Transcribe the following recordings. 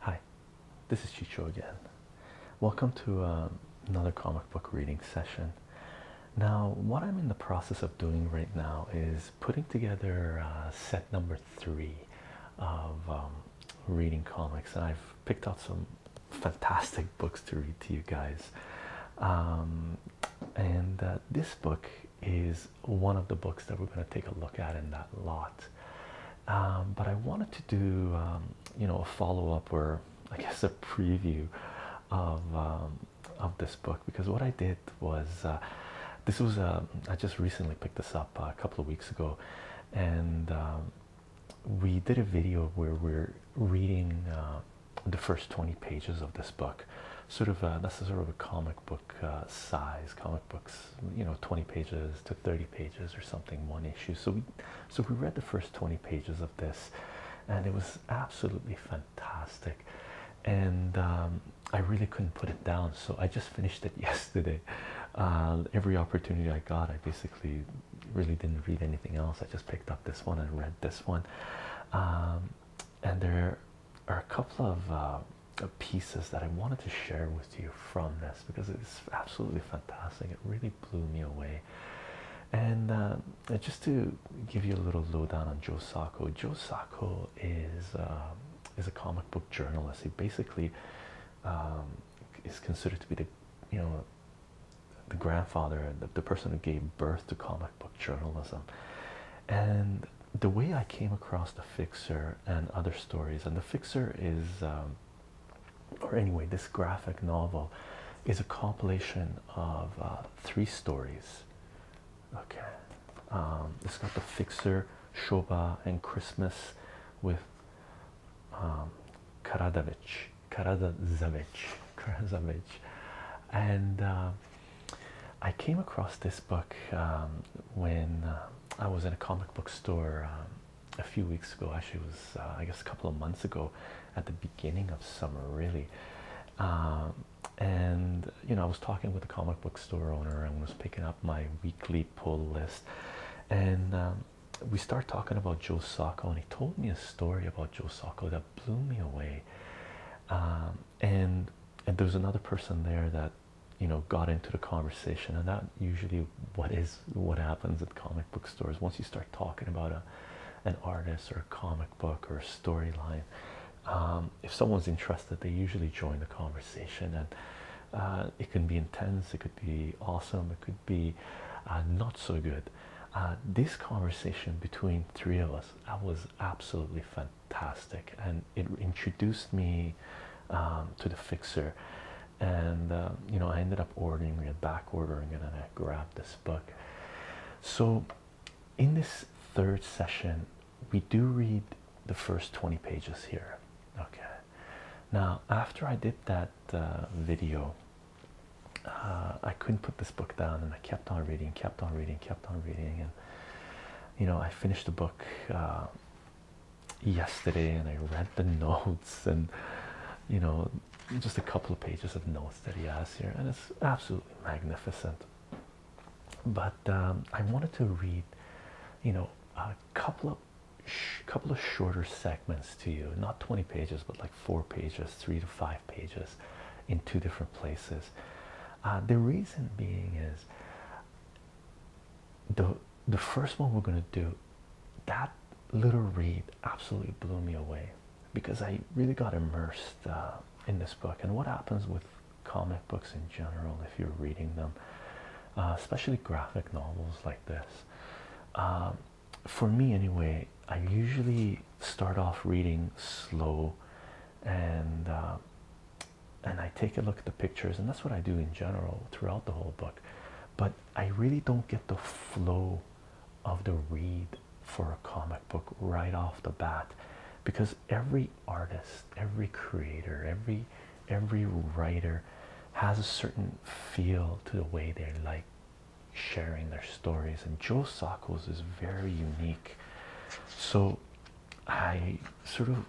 Hi, this is Chicho again. Welcome to um, another comic book reading session. Now, what I'm in the process of doing right now is putting together uh, set number three of um, reading comics, and I've picked out some fantastic books to read to you guys. Um, and uh, this book is one of the books that we're going to take a look at in that lot. Um, but I wanted to do um, you know a follow-up or I guess a preview of um, of this book because what I did was uh, this was uh, I just recently picked this up uh, a couple of weeks ago and we did a video where we're reading uh, the first 20 pages of this book sort of that's sort of a comic book size comic books you know 20 pages to 30 pages or something one issue so we so we read the first 20 pages of this and it was absolutely fantastic and um, I really couldn't put it down so I just finished it yesterday uh, every opportunity I got I basically really didn't read anything else I just picked up this one and read this one um, and there are a couple of uh, of pieces that I wanted to share with you from this because it's absolutely fantastic. It really blew me away. And uh, just to give you a little lowdown on Joe Sacco, Joe Sacco is uh, is a comic book journalist. He basically um, is considered to be the you know the grandfather, the, the person who gave birth to comic book journalism. And the way I came across the Fixer, and other stories. And The Fixer is, um, or anyway, this graphic novel is a compilation of uh, three stories. Okay, um, it's got The Fixer, Shoba, and Christmas with um, Karadavich, Karadavich, Karadavich, and. Um, I came across this book when uh, I was in a comic book store a few weeks ago. Actually, was uh, I guess a couple of months ago, at the beginning of summer, really. Um, and you know, I was talking with a comic book store owner and was picking up my weekly pull list, and um, we start talking about Joe Sacco, and he told me a story about Joe Sacco that blew me away. Um, and and there another person there that you know got into the conversation and that usually what is what happens at comic book stores once you start talking about a an artist or a comic book or a storyline um, if someone's interested they usually join the conversation and uh, it can be intense it could be awesome it could be uh, not so good uh, this conversation between three of us that was absolutely fantastic and it introduced me um, to the fixer and uh, you know I ended up ordering it back ordering it and I grabbed this book so in this third session we do read the first 20 pages here okay now after I did that uh, video uh, I couldn't put this book down and I kept on reading kept on reading kept on reading and you know I finished the book yesterday and I read the notes and you know just a couple of pages of notes that he has here and it's absolutely magnificent but um, I wanted to read you know a couple of couple of shorter segments to you not 20 pages but like four pages three to five pages in two different places uh, the reason being is the the first one we're gonna do that little read absolutely blew me away because I really got immersed uh, in this book and what happens with comic books in general if you're reading them uh, especially graphic novels like this um, for me anyway I usually start off reading slow and uh, and I take a look at the pictures and that's what I do in general throughout the whole book. I really don't get the flow of the read for a comic book right off the bat because every artist, every creator, every every writer has a certain feel to the way they like sharing their stories and Joe Sakos is very unique. So I sort of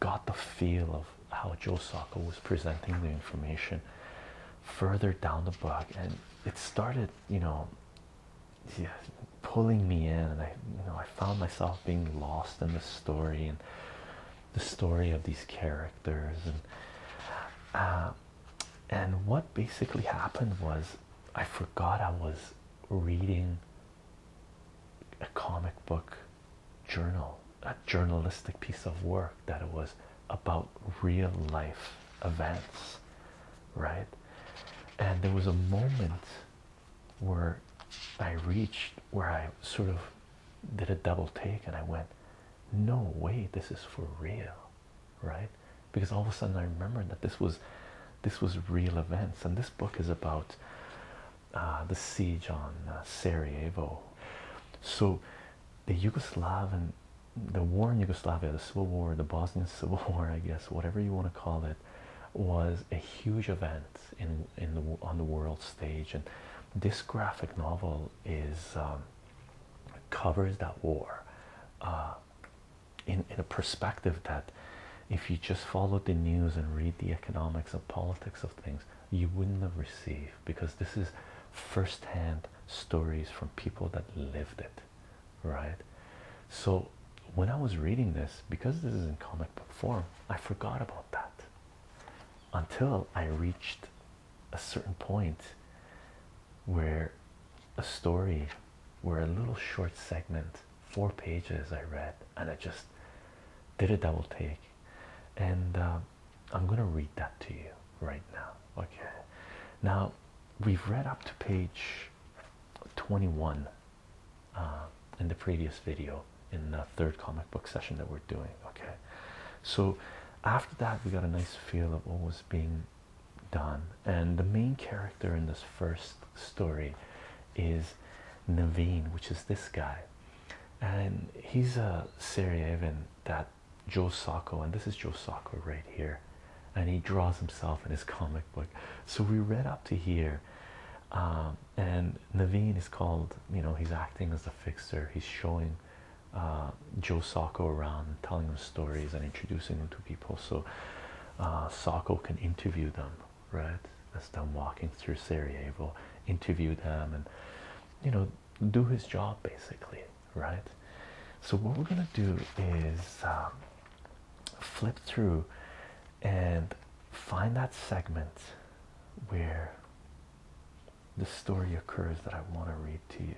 got the feel of how Joe Sacco was presenting the information further down the book, and it started, you know, pulling me in, and I, you know, I found myself being lost in the story and the story of these characters, and uh, and what basically happened was I forgot I was reading a comic book journal a journalistic piece of work that it was about real life events, right? And there was a moment where I reached where I sort of did a double take and I went, No way, this is for real, right? Because all of a sudden I remembered that this was this was real events, and this book is about uh, the siege on uh, Sarajevo. So the Yugoslavian, the war in Yugoslavia, the Civil War, the Bosnian Civil War, I guess, whatever you want to call it, was a huge event in in the on the world stage, and this graphic novel is um, covers that war uh, in in a perspective that, if you just follow the news and read the economics and politics of things, you wouldn't have received because this is first-hand stories from people that lived it right so when i was reading this because this is in comic book form i forgot about that until i reached a certain point where a story where a little short segment four pages i read and i just did a double take and uh, I'm going to read that to you right now. Okay. Now, we've read up to page 21 uh, in the previous video in the third comic book session that we're doing. Okay. So, after that, we got a nice feel of what was being done. And the main character in this first story is Naveen, which is this guy and he's a Sarajevan that Joe Sacco, and this is Joe Sacco right here, and he draws himself in his comic book. So we read up to here, um, and Naveen is called. You know, he's acting as a fixer. He's showing uh, Joe Sacco around, telling him stories, and introducing him to people. So uh, Sacco can interview them, right? As them walking through Sarajevo, interview them, and you know do his job basically, right? So, what we're gonna do is um, flip through and find that segment where the story occurs that I want to read to you.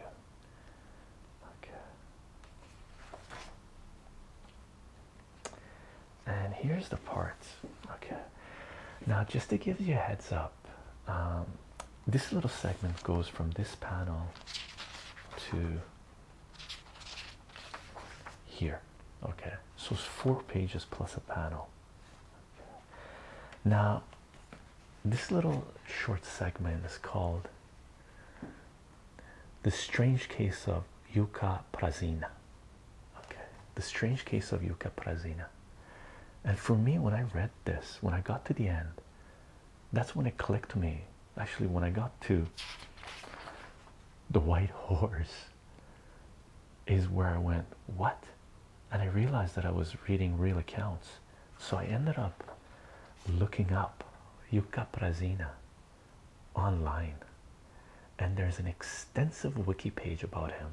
Okay. And here's the parts. Okay. Now, just to give you a heads up, um, this little segment goes from this panel to here. Okay, so it's four pages plus a panel. Now, this little short segment is called The Strange Case of Yuka Prazina. Okay, The Strange Case of Yuka Prazina. And for me, when I read this, when I got to the end, that's when it clicked to me. Actually, when I got to the white horse, is where I went, What? And I realized that I was reading real accounts. So I ended up looking up Yuka Prazina online. And there's an extensive wiki page about him.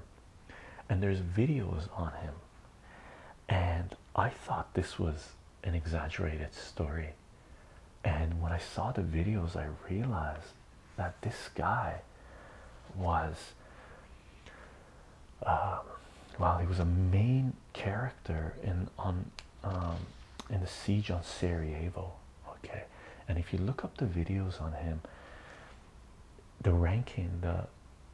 And there's videos on him and I thought this was an exaggerated story. And when I saw the videos, I realized that this guy was uh, well, he was a main character in on um, in the siege on Sarajevo. Okay, and if you look up the videos on him, the ranking, the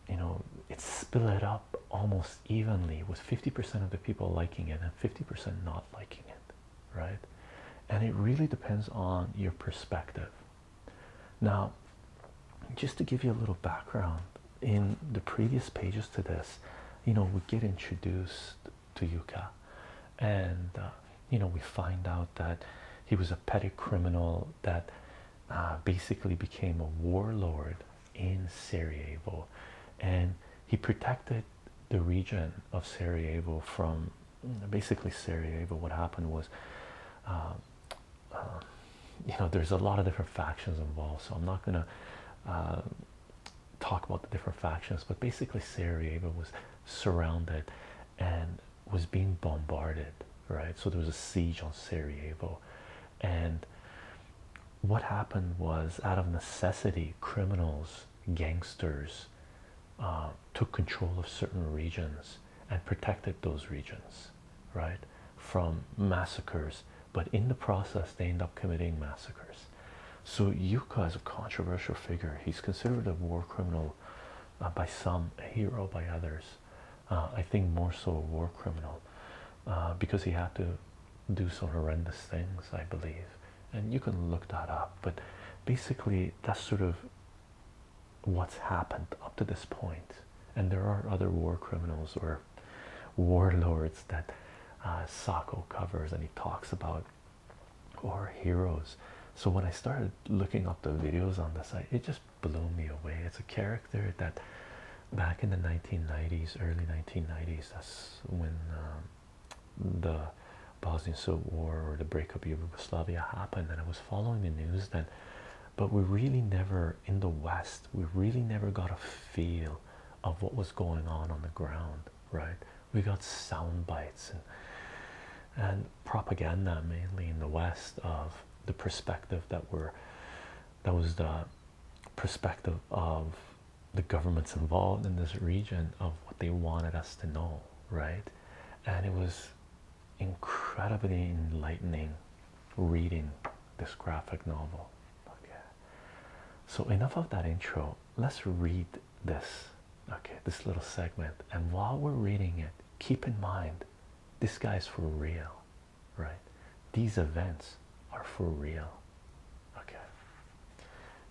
you know it's split up almost evenly with 50% of the people liking it and 50% not liking it right and it really depends on your perspective now just to give you a little background in the previous pages to this you know we get introduced to yuka and uh, you know we find out that he was a petty criminal that uh, basically became a warlord in Sarajevo, and he protected the region of Sarajevo from basically Sarajevo. What happened was, um, um, you know, there's a lot of different factions involved, so I'm not gonna um, talk about the different factions, but basically Sarajevo was surrounded and was being bombarded right? So there was a siege on Sarajevo, and what happened was out of necessity, criminals, gangsters uh, took control of certain regions and protected those regions, right, from massacres. But in the process, they end up committing massacres. So Yuka is a controversial figure. He's considered a war criminal uh, by some, a hero by others. Uh, I think more so a war criminal uh, because he had to do some horrendous things, I believe. And you can look that up, but basically, that's sort of what's happened up to this point. And there are other war criminals or warlords that uh, covers and he talks about, or heroes. So when I started looking up the videos on the site, it just blow me away. It's a character that back in the 1990s, early 1990s, that's when um, the Bosnian Civil War or the breakup of Yugoslavia happened, and I was following the news then. But we really never, in the West, we really never got a feel of what was going on on the ground, right? We got sound bites and and propaganda mainly in the West of the perspective that we're that was the perspective of the governments involved in this region of what they wanted us to know, right? And it was incredibly enlightening reading this graphic novel. So enough of that intro. Let's read this. Okay, this little segment. And while we're reading it, keep in mind this guy's for real right? These events are for real. Okay.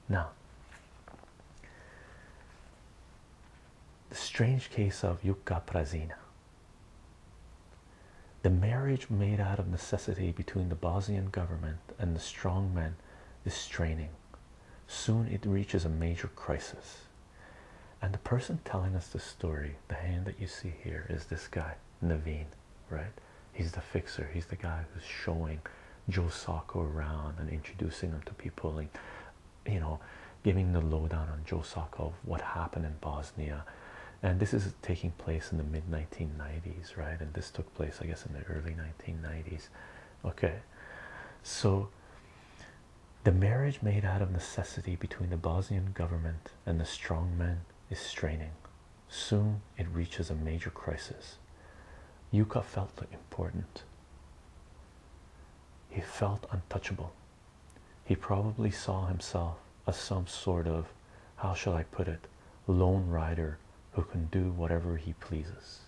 Now, the strange case of Yuka Prazina. The marriage made out of necessity between the Bosnian government and the strongmen is straining. Soon it reaches a major crisis and the person telling us the story the hand that you see here is this guy naveen right he's the fixer he's the guy who's showing joe sacco around and introducing him to people and you know giving the lowdown on joe sacco of what happened in bosnia and this is taking place in the mid 1990s right and this took place i guess in the early 1990s okay so the marriage made out of necessity between the Bosnian government and the strong man is straining. Soon it reaches a major crisis. Yuka felt important. He felt untouchable. He probably saw himself as some sort of, how shall I put it, lone rider who can do whatever he pleases.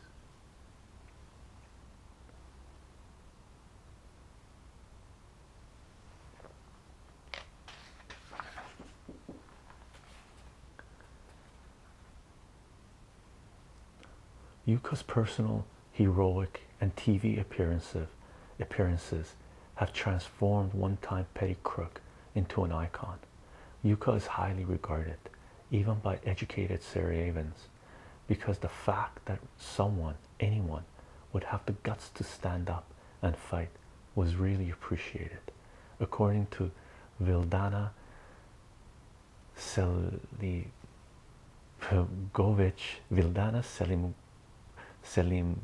Yuka's personal, heroic, and TV appearances, have transformed one-time petty crook into an icon. Yuka is highly regarded, even by educated Sarajevans, because the fact that someone anyone would have the guts to stand up and fight was really appreciated. According to Vildana Selim, Selimovic, Vildana Selim, Selim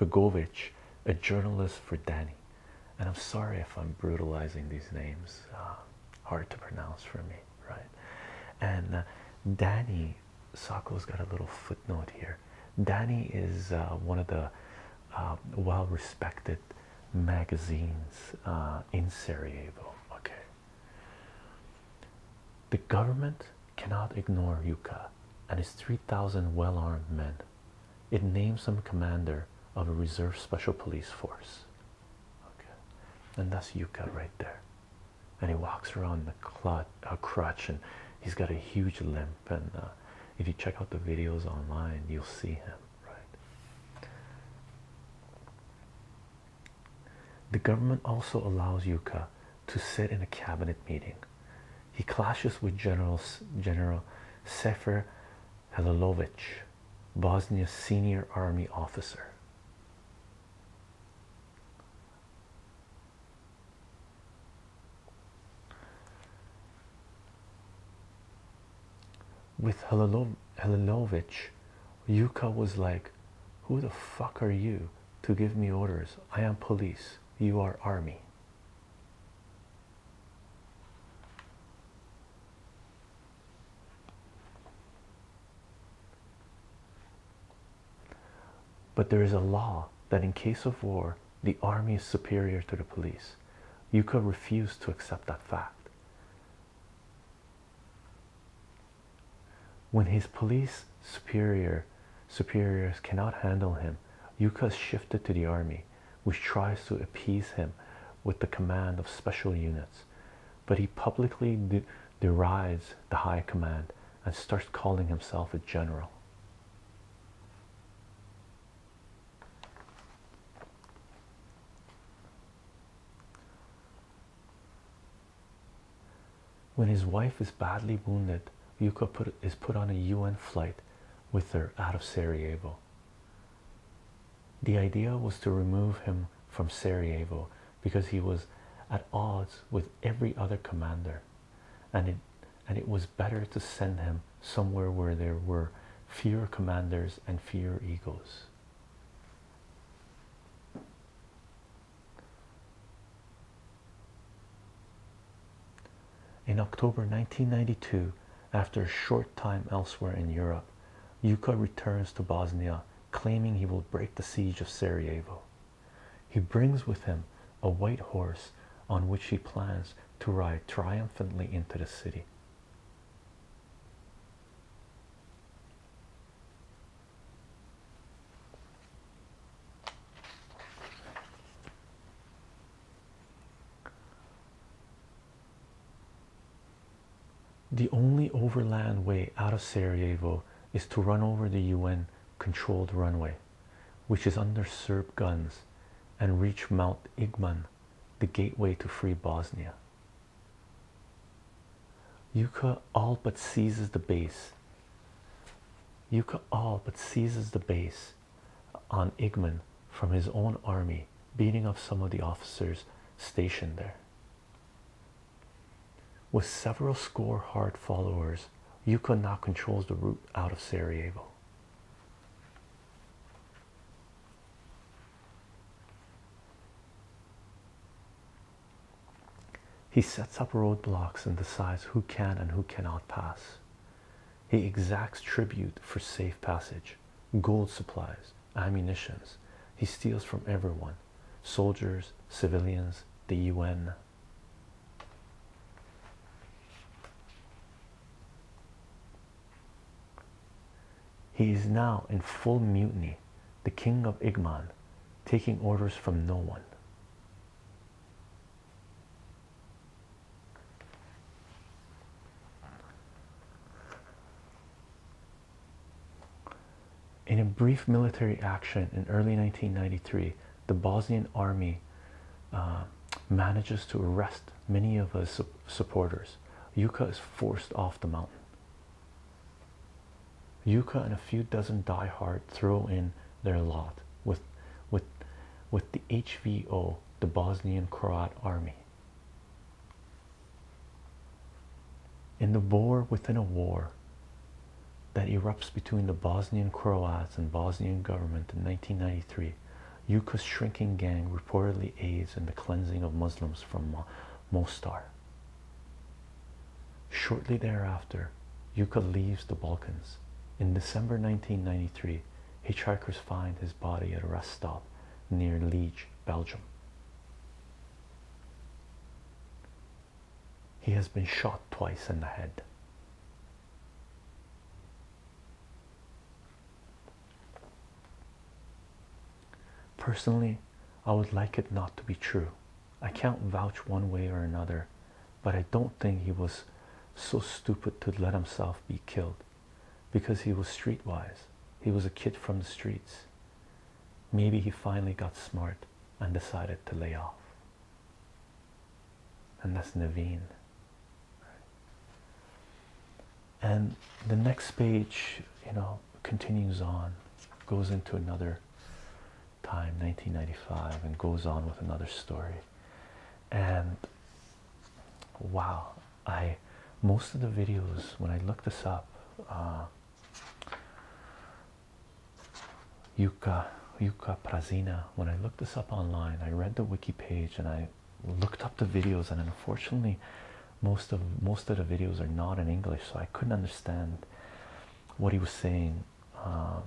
Begovic, a journalist for Danny. And I'm sorry if I'm brutalizing these names, uh, hard to pronounce for me, right? And uh, Danny Danny has got a little footnote here. Danny is uh, one of the uh, well respected magazines uh, in Sarajevo. Okay. The government cannot ignore Yuka and his 3,000 well armed men. It names him commander of a reserve special police force. Okay. And that's Yuka right there and he walks around the a crutch and he's got a huge limp and uh, if you check out the videos online you'll see him right the government also allows yuka to sit in a cabinet meeting he clashes with general general sefer halilovic bosnia's senior army officer with Helilov Helilovich, Yuka was like, Who the fuck are you to give me orders? I am police. You are army. But there is a law that in case of war, the army is superior to the police. Yuka refused to accept that fact. When his police superior superiors cannot handle him, Yuka is shifted to the army, which tries to appease him with the command of special units. But he publicly derides the high command and starts calling himself a general. When his wife is badly wounded, Yuka is put on a UN flight with her out of Sarajevo. The idea was to remove him from Sarajevo because he was at odds with every other commander and it and it was better to send him somewhere where there were fewer commanders and fewer egos. In October 1992, after a short time elsewhere in Europe, Yuka returns to Bosnia claiming he will break the siege of Sarajevo. He brings with him a white horse on which he plans to ride triumphantly into the city. The only overland way out of Sarajevo is to run over the UN controlled runway which is under Serb guns, and reach Mount Igman, the gateway to free Bosnia. Yuka all but seizes the base. Yuka all but seizes the base on Igman from his own army, beating up some of the officers stationed there. With several score hard followers, Yuka now controls the route out of Sarajevo. He sets up roadblocks and decides who can and who cannot pass. He exacts tribute for safe passage, gold supplies, ammunitions. He steals from everyone soldiers, civilians, the UN. He is now in full mutiny, the king of Igman, taking orders from no one. In a brief military action in early 1993, the Bosnian army uh, manages to arrest many of his supporters. Yuka is forced off the mountain. Yuka and a few dozen diehard throw in their lot with, with, with the HVO, the Bosnian Croat army. In the war within a war that erupts between the Bosnian Croats and Bosnian government in 1993, Yuka's shrinking gang reportedly aids in the cleansing of Muslims from Mostar. Shortly thereafter, Yuka leaves the Balkans. In December 1993, hitchhikers find his body at a rest stop near Liege, Belgium. He has been shot twice in the head. Personally, I would like it not to be true. I can't vouch one way or another, but I don't think he was so stupid to let himself be killed because he was streetwise. He was a kid from the streets. Maybe he finally got smart and decided to lay off. And that's Naveen and the next page you know continues on goes into another time 1995 and goes on with another story and wow i most of the videos when i look this up uh, Yuka Yuka Prazina. When I looked this up online, I read the wiki page and I looked up the videos, and unfortunately, most of most of the videos are not in English, so I couldn't understand what he was saying. Uh,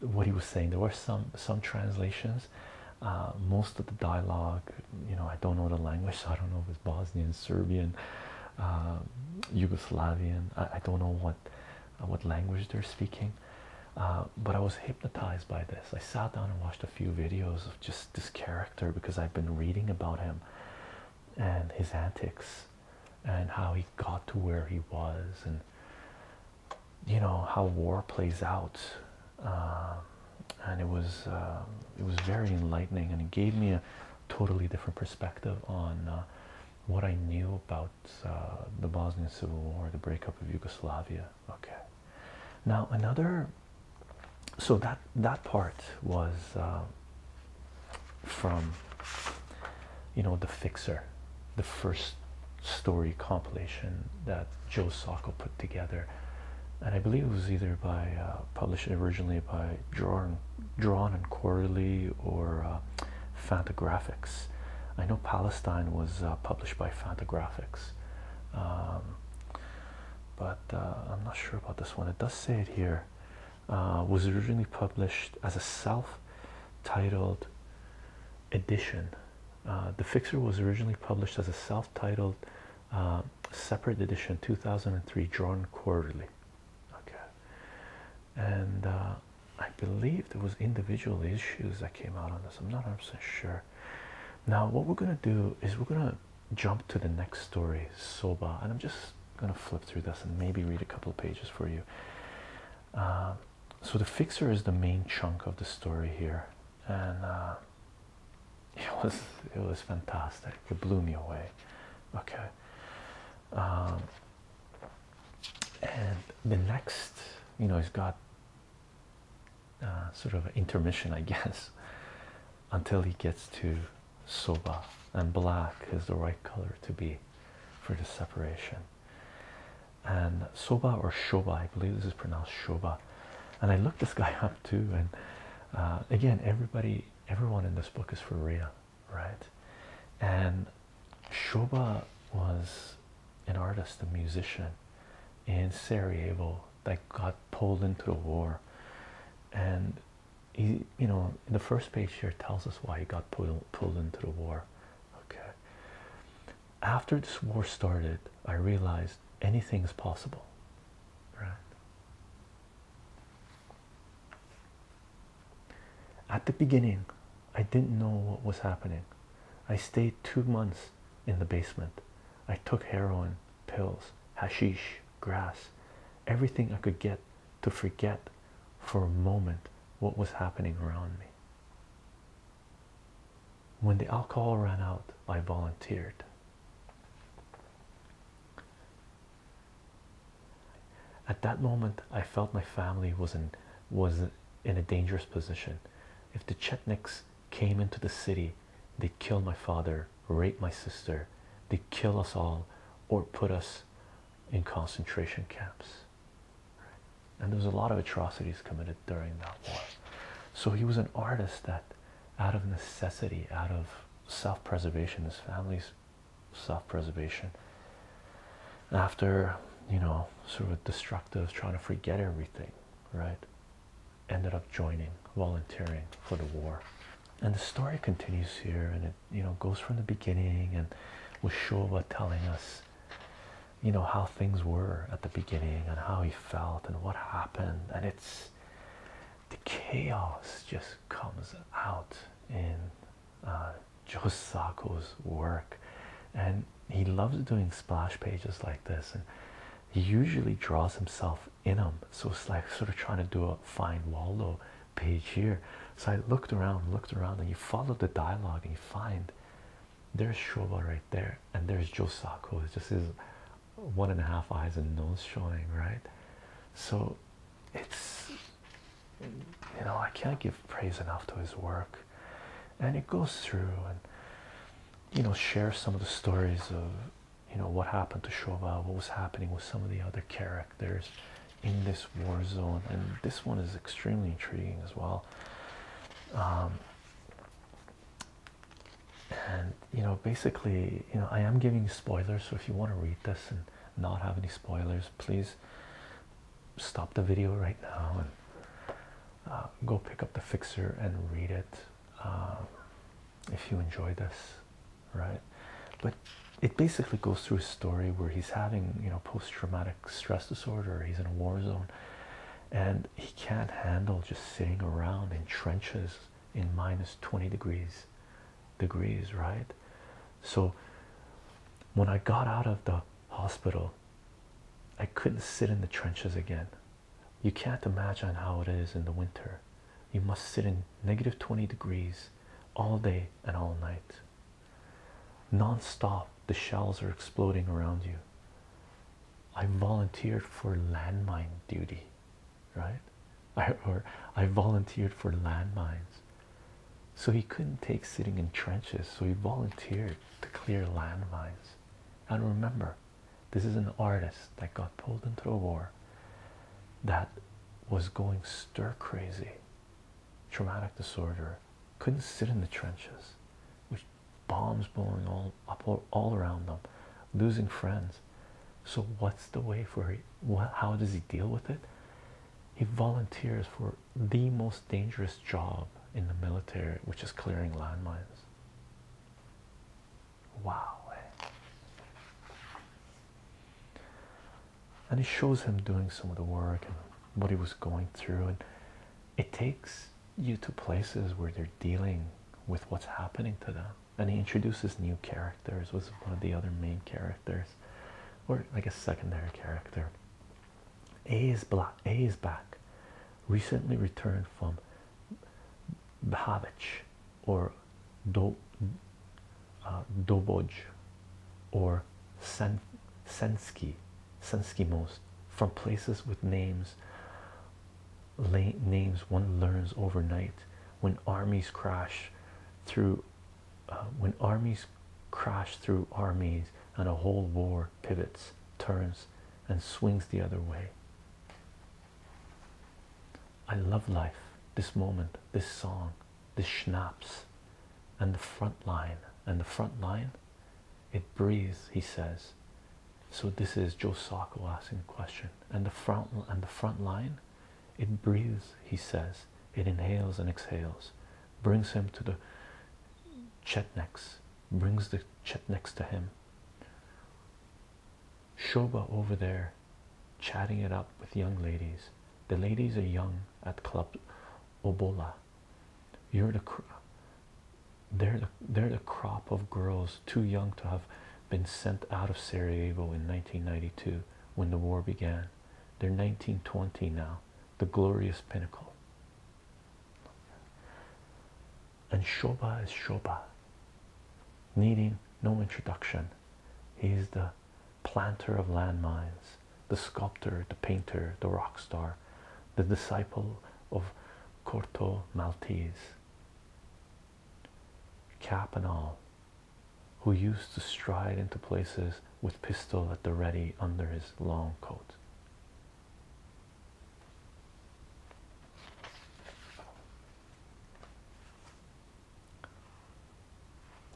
what he was saying, there were some some translations. Uh, most of the dialogue, you know, I don't know the language, so I don't know if it's Bosnian, Serbian, uh, Yugoslavian. I don't know what uh, what language they're speaking. Uh, but I was hypnotized by this. I sat down and watched a few videos of just this character because I've been reading about him and his antics and how he got to where he was, and you know how war plays out. Um, and it was um, it was very enlightening, and it gave me a totally different perspective on uh, what I knew about uh, the Bosnian Civil War, the breakup of Yugoslavia. Okay, now another. So that that part was uh, from you know the Fixer, the first story compilation that Joe Sockel put together, and I believe it was either by uh, published originally by Drawn Drawn and Quarterly or Fantagraphics. I know Palestine was uh, published by Fantagraphics, um, but uh, I'm not sure about this one. It does say it here. Uh, was originally published as a self-titled edition. the Fixer was originally published as a self-titled um, separate edition 2003 drawn quarterly okay and I believe there was individual issues that came out on this. I'm not 100 sure. Now, what we're gonna do is we're gonna jump to the next story, Soba, and I'm just gonna flip through this and maybe read a couple of pages for you. Uh, so the fixer is the main chunk of the story here, and uh, it was it was fantastic. It blew me away. Okay. Um, and the next, you know, it has got uh, sort of intermission, I guess, until he gets to Soba. And black is the right color to be for the separation. And Soba or Shoba, I believe this is pronounced Shoba. And I looked this guy up too. And uh, again, everybody, everyone in this book is for real, right? And Shoba was an artist, a musician in Sarajevo that got pulled into the war. And he, you know, the first page here tells us why he got pulled, pulled into the war. Okay. After this war started, I realized anything is possible. Right. At the beginning, I didn't know what was happening. I stayed two months in the basement. I took heroin, pills, hashish, grass, everything I could get to forget for a moment what was happening around me. When the alcohol ran out, I volunteered. At that moment, I felt my family was in was in a dangerous position. If the Chetniks came into the city, they'd kill my father, rape my sister, they'd kill us all, or put us in concentration camps. And there was a lot of atrocities committed during that war. So he was an artist that, out of necessity, out of self preservation, his family's self preservation, after you know sort of destructive trying to forget everything right ended up joining volunteering for the war and the story continues here and it you know goes from the beginning and with Shoba telling us you know how things were at the beginning and how he felt and what happened and it's the chaos just comes out in uh, Josako's work and he loves doing splash pages like this, and he usually draws himself in them. So it's like sort of trying to do a find Waldo page here. So I looked around, looked around, and you follow the dialogue, and you find there's Shoba right there, and there's Josako. It's just his one and a half eyes and nose showing, right? So it's you know, I can't give praise enough to his work and it goes through and you know shares some of the stories of you know what happened to Shoba, what was happening with some of the other characters in this war zone, and this one is extremely intriguing as well. Um, and you know, basically, you know, I am giving spoilers, so if you want to read this and not have any spoilers, please stop the video right now um, go pick up the fixer and read it um, if you enjoy this, right? But it basically goes through a story where he's having, you know, post-traumatic stress disorder. He's in a war zone, and he can't handle just sitting around in trenches in minus 20 degrees, degrees, right? So when I got out of the hospital, I couldn't sit in the trenches again. You can't imagine how it is in the winter. You must sit in negative 20 degrees all day and all night. Non stop, the shells are exploding around you. I volunteered for landmine duty, right? or I volunteered for landmines. So he couldn't take sitting in trenches, so he volunteered to clear landmines. And remember, this is an artist that got pulled into a war that was going stir crazy, traumatic disorder, couldn't sit in the trenches, with bombs blowing all up all around them, losing friends. So what's the way for he, how does he deal with it? He volunteers for the most dangerous job in the military, which is clearing landmines. Wow. Eh. And it shows him doing some of the work and what he was going through. And it takes you to places where they're dealing with what's happening to them. And he introduces new characters, was one of the other main characters, or I guess secondary character. A is back. Recently returned from Bahavich or uh, Doboj or Sen, most from places with names names one learns overnight when armies crash through uh, when armies crash through armies and a whole war pivots turns and swings the other way. I love life, this moment, this song, this schnapps, and the front line. And the front line, it breathes, he says. So this is Joe Sacco asking a question. And the front and the front line, it breathes, he says. It inhales and exhales, brings him to the chetnecks, brings the chetnecks to him, Shoba over there chatting it up with young ladies. The ladies are young at Club Obola. You're the they're the, they're the crop of girls too young to have been sent out of Sarajevo in 1992 when the war began. They're 1920 now, the glorious pinnacle and Shoba is Shoba, needing no introduction. He is the planter of landmines, the sculptor, the painter, the rock star, the disciple of Corto Maltese, cap and all, who used to stride into places with pistol at the ready under his long coat.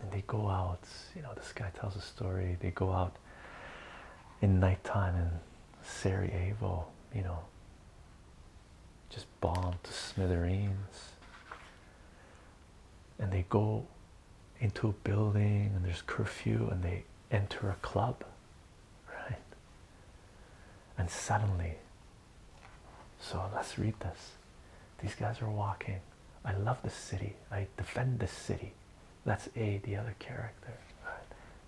And they go out, you know, this guy tells a story. They go out in nighttime in Sarajevo, you know, just bombed to smithereens. And they go into a building and there's curfew and they enter a club right? And suddenly, so let's read this. These guys are walking. I love the city. I defend the city. That's A, the other character.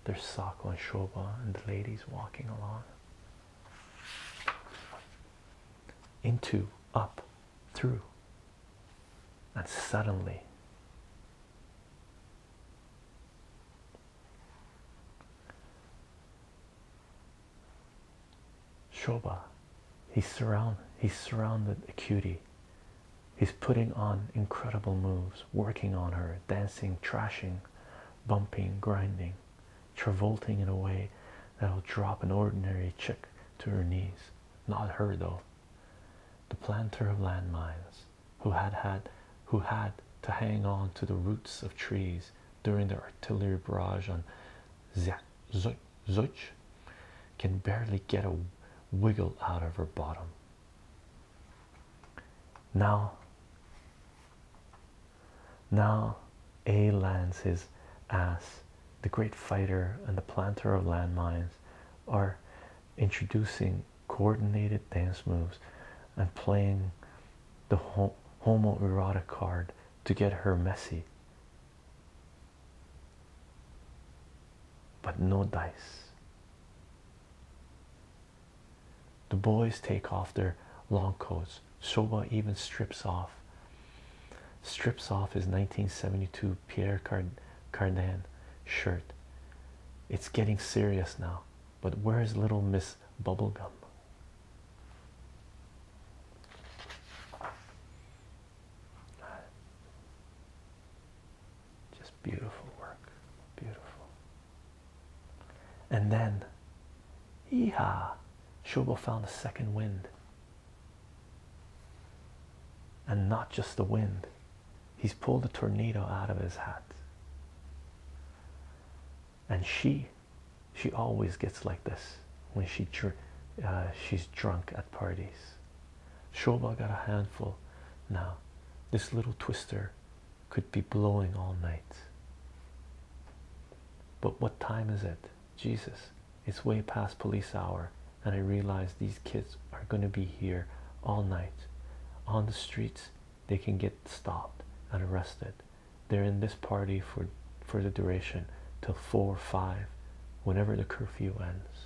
There's Sako and Shoba and the ladies walking along. Into, up, through. And suddenly, Shoba, he's surround he's surrounded Acuity. He's putting on incredible moves, working on her, dancing, trashing, bumping, grinding, travolting in a way that'll drop an ordinary chick to her knees. Not her though. The planter of landmines who had had who had to hang on to the roots of trees during the artillery barrage on Zuch can barely get a wiggle out of her bottom. Now, now A lands his ass. The great fighter and the planter of landmines are introducing coordinated dance moves and playing the homoerotic card to get her messy. But no dice. The boys take off their long coats. Shoba even strips off. Strips off his 1972 Pierre Cardin shirt. It's getting serious now. But where's little Miss Bubblegum? Just beautiful work. Beautiful. And then, yeehaw, Shobo found a second wind. And not just the wind, He's pulled a tornado out of his hat. And she, she always gets like this when she uh, she's drunk at parties. Shoba got a handful. Now, this little twister could be blowing all night. But what time is it? Jesus, it's way past police hour, and I realize these kids are going to be here all night on the streets they can get stopped and arrested they're in this party for for the duration till four or five whenever the curfew ends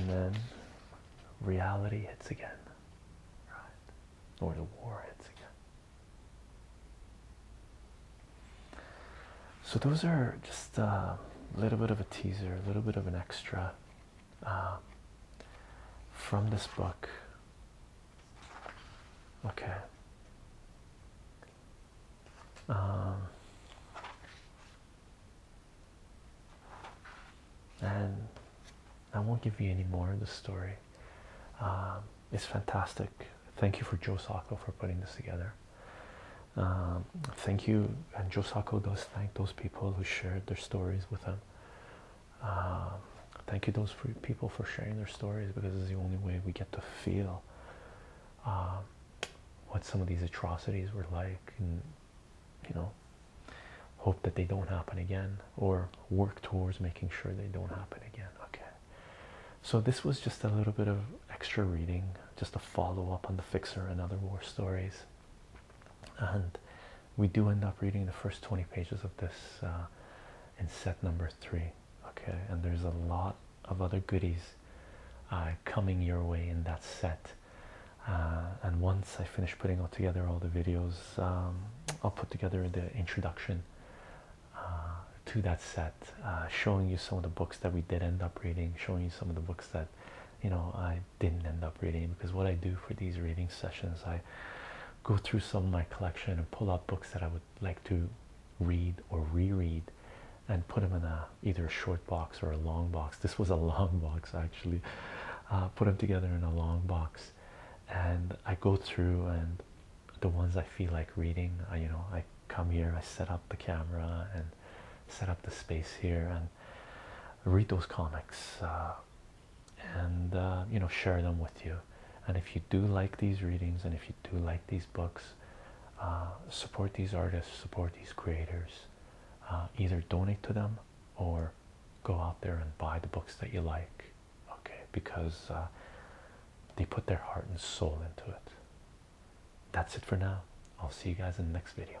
and then reality hits again or the war hits again so those are just a little bit of a teaser, a little bit of an extra uh, from this book. Okay. Um, and I won't give you any more of the story. Um, it's fantastic. Thank you for Joe Sacco for putting this together. Um, thank you, and Joe Sacco does thank those people who shared their stories with him. Um, thank you, those people for sharing their stories because it's the only way we get to feel um, what some of these atrocities were like, and you know, hope that they don't happen again, or work towards making sure they don't happen again. Okay. So this was just a little bit of extra reading, just a follow up on the Fixer and other war stories, and we do end up reading the first 20 pages of this uh, in set number three. Okay, and there's a lot of other goodies uh, coming your way in that set. Uh, and once I finish putting all together all the videos, um, I'll put together the introduction uh, to that set, uh, showing you some of the books that we did end up reading, showing you some of the books that you know I didn't end up reading. Because what I do for these reading sessions, I go through some of my collection and pull out books that I would like to read or reread and put them in a either a short box or a long box. This was a long box actually. Uh, put them together in a long box and I go through and the ones I feel like reading. you know, I come here, I set up the camera and set up the space here and read those comics uh, and uh, you know share them with you. And if you do like these readings and if you do like these books, uh, support these artists, support these creators. either donate to them or go out there and buy the books that you like. Okay, because they put their heart and soul into it. That's it for now. I'll see you guys in the next video.